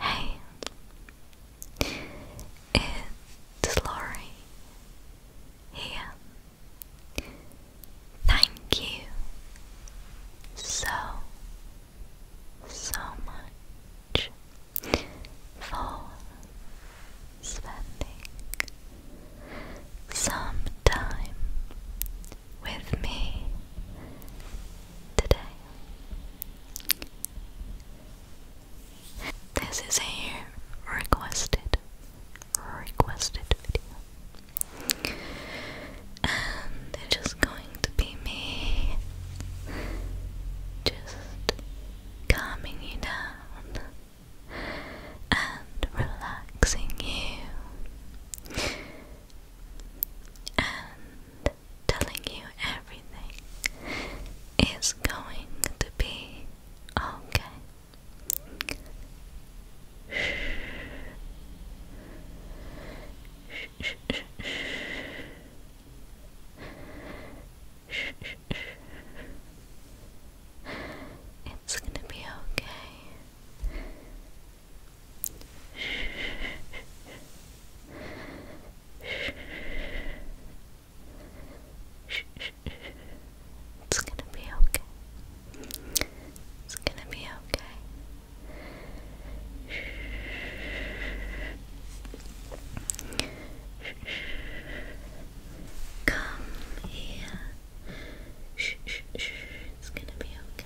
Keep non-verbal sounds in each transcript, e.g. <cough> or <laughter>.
Hey, it's Laurie here. Thank you so, so much for spending some time with me today. This is a requested, requested video, and it's just going to be me just calming you down and relaxing you and telling you everything is going to be okay. It's gonna be okay. It's gonna be okay. It's gonna be okay. Come here. It's gonna be okay.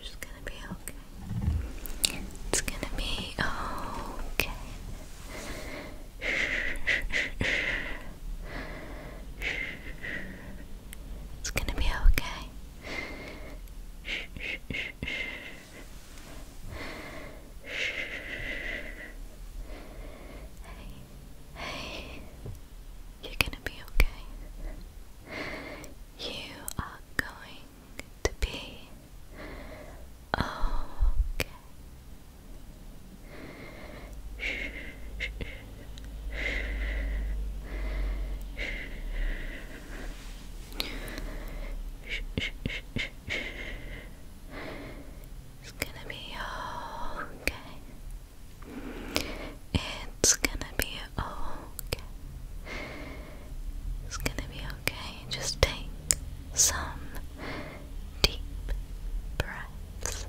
It's gonna be okay. It's gonna be okay. It's gonna be okay. Hey, hey, you're gonna be okay. You are going to be okay. It's gonna be okay. It's gonna be okay. It's gonna be okay. Just take some deep breaths.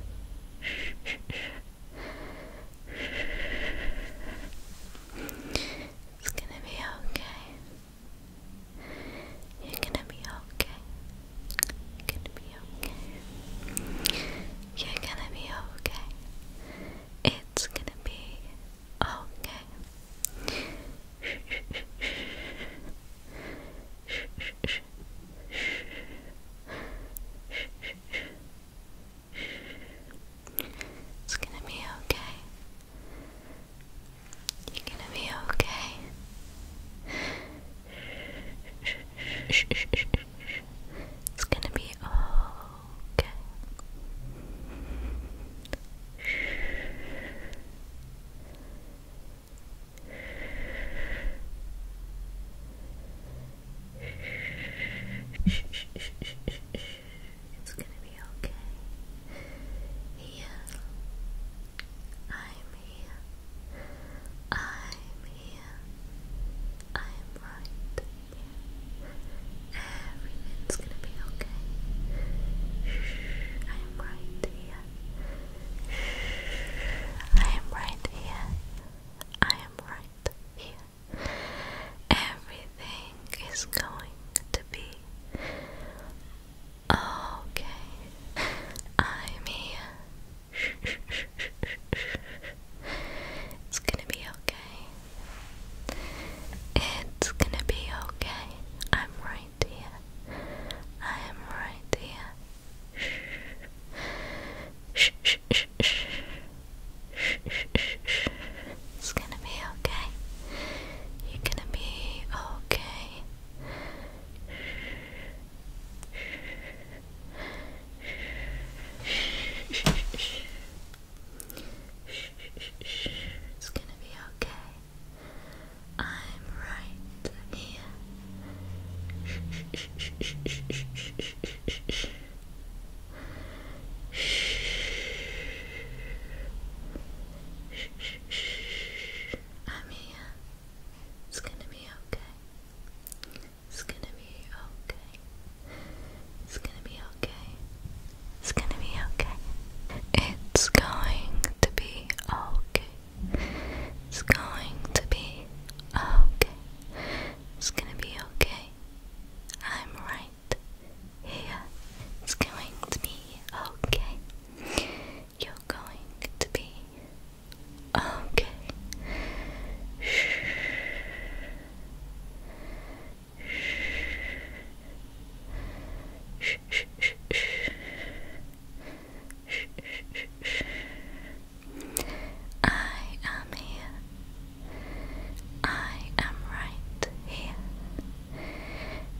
It's gonna be okay. You're gonna be okay. You're gonna be okay. You're gonna be okay. It's gonna be Okay. It's gonna be okay. You're gonna be okay. It's gonna be all okay. It's gonna be okay. Yeah, I'm here. I'm here. I'm right Everything's gonna be okay. I am right here. I am right here. I am right here. Everything is going to be okay. I'm here. It's gonna be okay. It's gonna be okay. I'm right here. I am right here. Shh. Shh, shh, shh, shh. Shh, shh, It's gonna be okay. You're gonna be okay. Shh, shh, shh, it's gonna be okay. I'm right here. Shh, shh, shh, shh, shh, shh, shh, shh, shh, I'm here. It's gonna be okay. It's gonna be okay. It's gonna be okay. It's gonna be okay. It's going to be okay. It's going to be okay. It's gonna be okay. I'm right here. It's going to be okay. You're going to be okay. Shh. I am here. I am right here.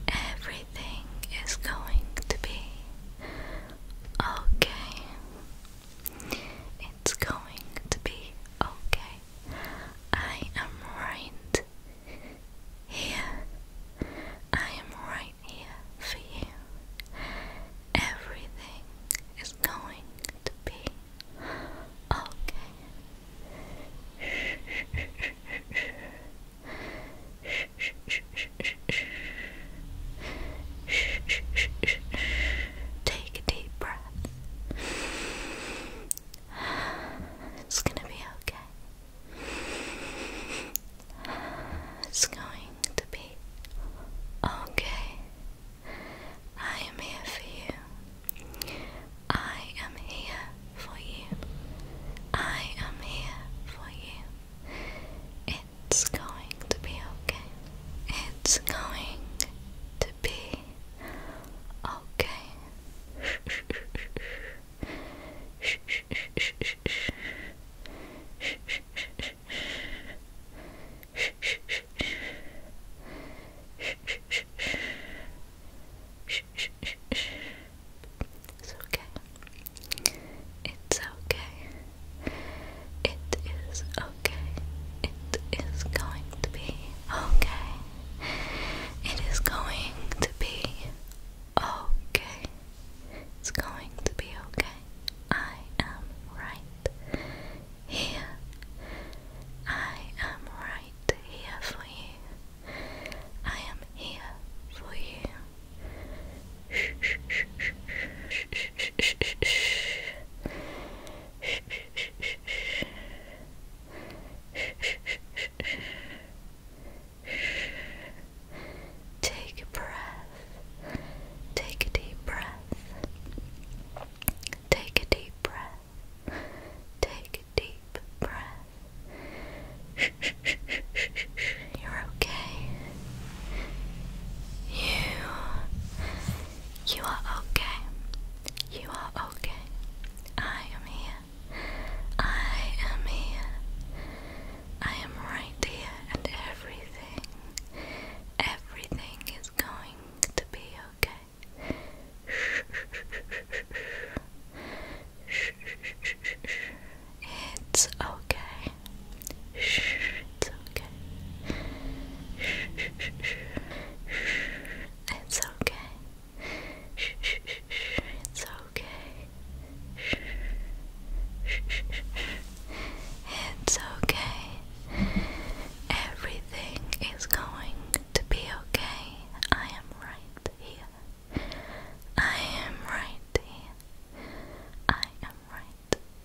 Everything is going to be okay. It's going to be okay. I am right here. I am right here for you. Everything is going to be okay. <laughs> Take a deep breath. It's gonna be okay. It's going to be okay. I am here for you. I am here for you. I am here for you. It's going to be okay. It's going to be okay. It's okay. It's okay. It is okay. It is going to be okay. It is going to be okay. It's going to be okay. I am right here. I am right here for you. I am here for you. Shh, shh, shh, shh, shh, shh, shh, shh, shh. Take a breath. Take a deep breath. Take a deep breath. Take a deep breath. You're okay. You you are okay. You are okay. I am here. I am here. I am right here, and everything, everything is going to be okay. Shh, shh, shh, shh, shh. Shh, shh, shh, shh. It's okay. Shh, it's okay. It's okay. It's okay. It's okay. Everything is going to be okay. I am right here. I am right here. I am right